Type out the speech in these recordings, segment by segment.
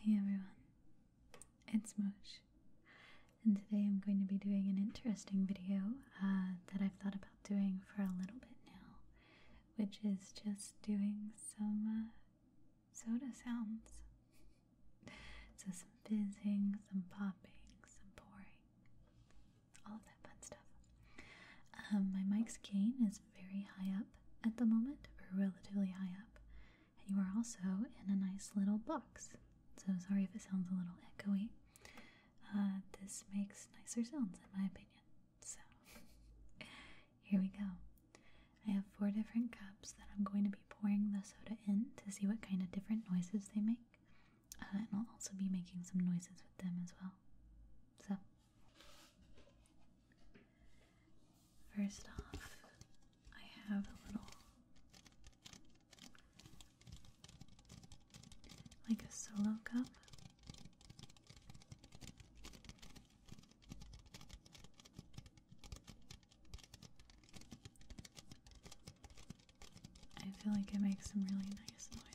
Hey everyone, it's Moosh, and today I'm going to be doing an interesting video uh, that I've thought about doing for a little bit now, which is just doing some uh, soda sounds. so some fizzing, some popping, some pouring, all of that fun stuff. Um, my mic's gain is very high up at the moment, or relatively high up and you are also in a nice little box. So sorry if it sounds a little echoey. Uh, this makes nicer sounds, in my opinion. So here we go. I have four different cups that I'm going to be pouring the soda in to see what kind of different noises they make. Uh, and I'll also be making some noises with them as well. So First off, I have a little like a solo cup. I feel like it makes some really nice noises.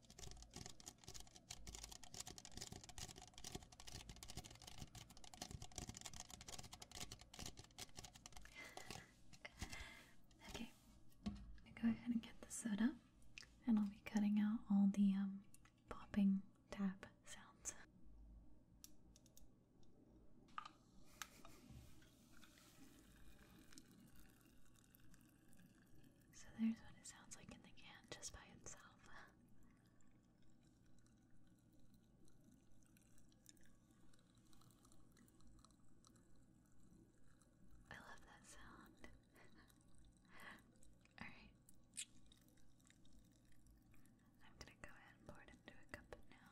okay, go ahead and get the soda, and I'll be cutting out all the um, popping tap sounds. So there's what it sounds like in the can just by itself. I love that sound. Alright. I'm gonna go ahead and pour it into a cup now.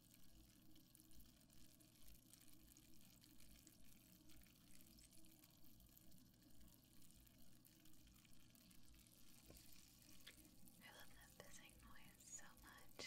I love that buzzing noise so much.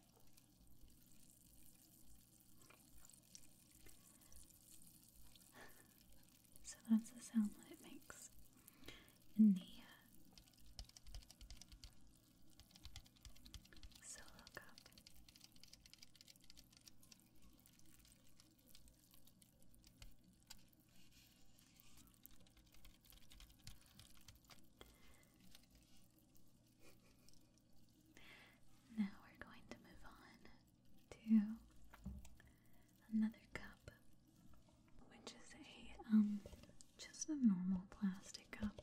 so that's the sound that it makes in the uh, cup. Now we're going to move on to another cup, which is a um just a normal plastic cup.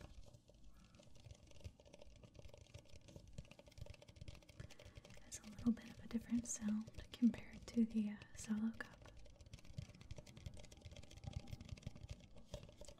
Has a little bit of a different sound compared to the uh, solo cup.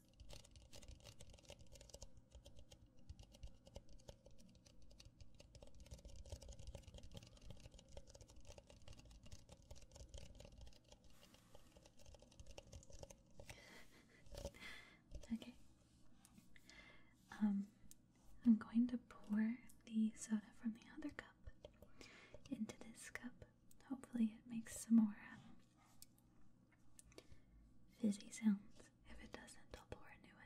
okay. Um, I'm going to pour the soda from the other cup into this cup. Hopefully, it makes some more um, fizzy sounds if it doesn't, I'll pour a new one.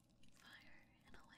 fire in a way.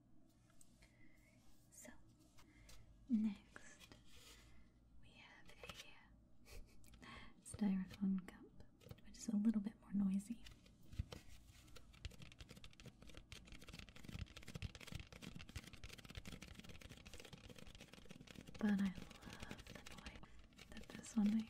So, next we have a uh, styrofoam cup, which is a little bit more noisy. But I love the noise that this one makes.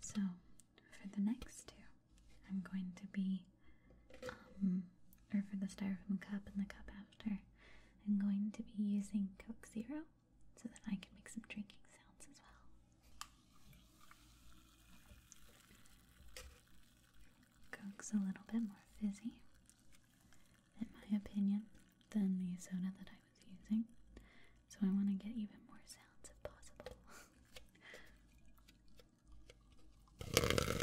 So, for the next two, I'm going to be, um, or for the styrofoam cup and the cup after, I'm going to be using Coke Zero so that I can make some drinking sounds as well. Coke's a little bit more fizzy, in my opinion, than the soda that I was using. So I want to get even more sounds if possible.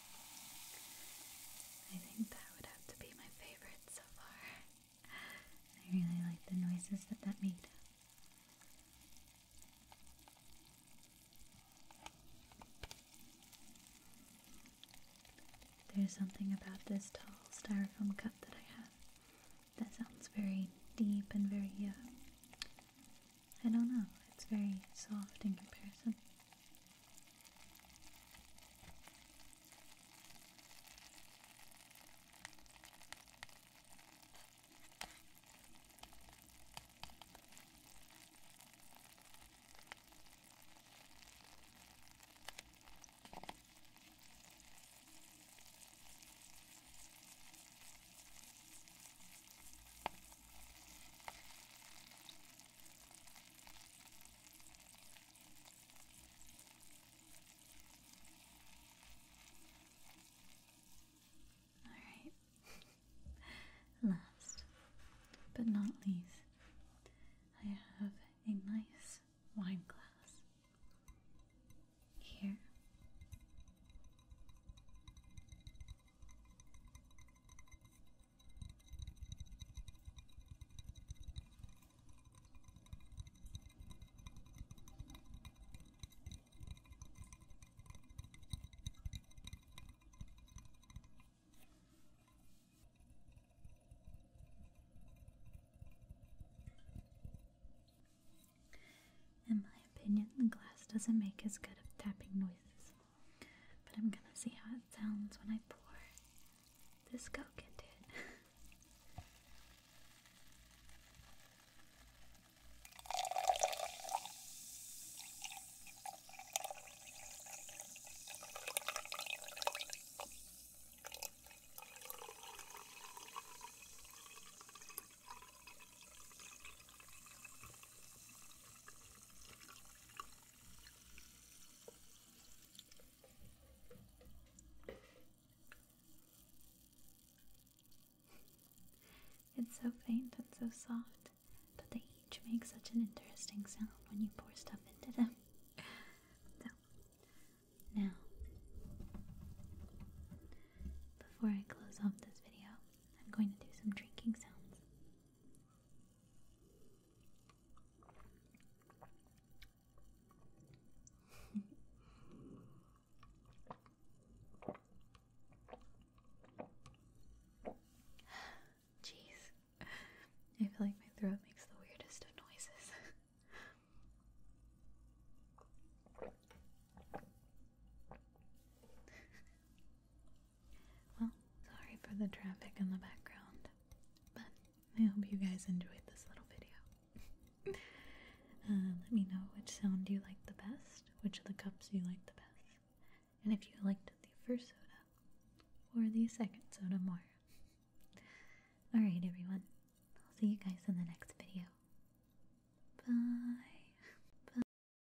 I think that would have to be my favorite so far. I really like the noises that that made. There's something about this tall styrofoam cup that I have that sounds very deep and very uh, I don't know, it's very soft in comparison. All right. Last but not least, I have a nice wine glass here. In my opinion, the glass doesn't make as good of tapping noises. But I'm gonna see how it sounds when I pour this Coke into it. It's so faint and so soft, but they each make such an interesting sound when you pour stuff into them. now, before I close off this video, I'm going to do some drinking sounds. Jeez, I feel like my throat makes the weirdest of noises. Well, sorry for the traffic in the background, but I hope you guys enjoyed this little video. Uh, let me know which sound you like the best, which of the cups you like the best, and if you liked the first soda or the second soda more. Alright, everyone. I'll see you guys in the next video. Bye.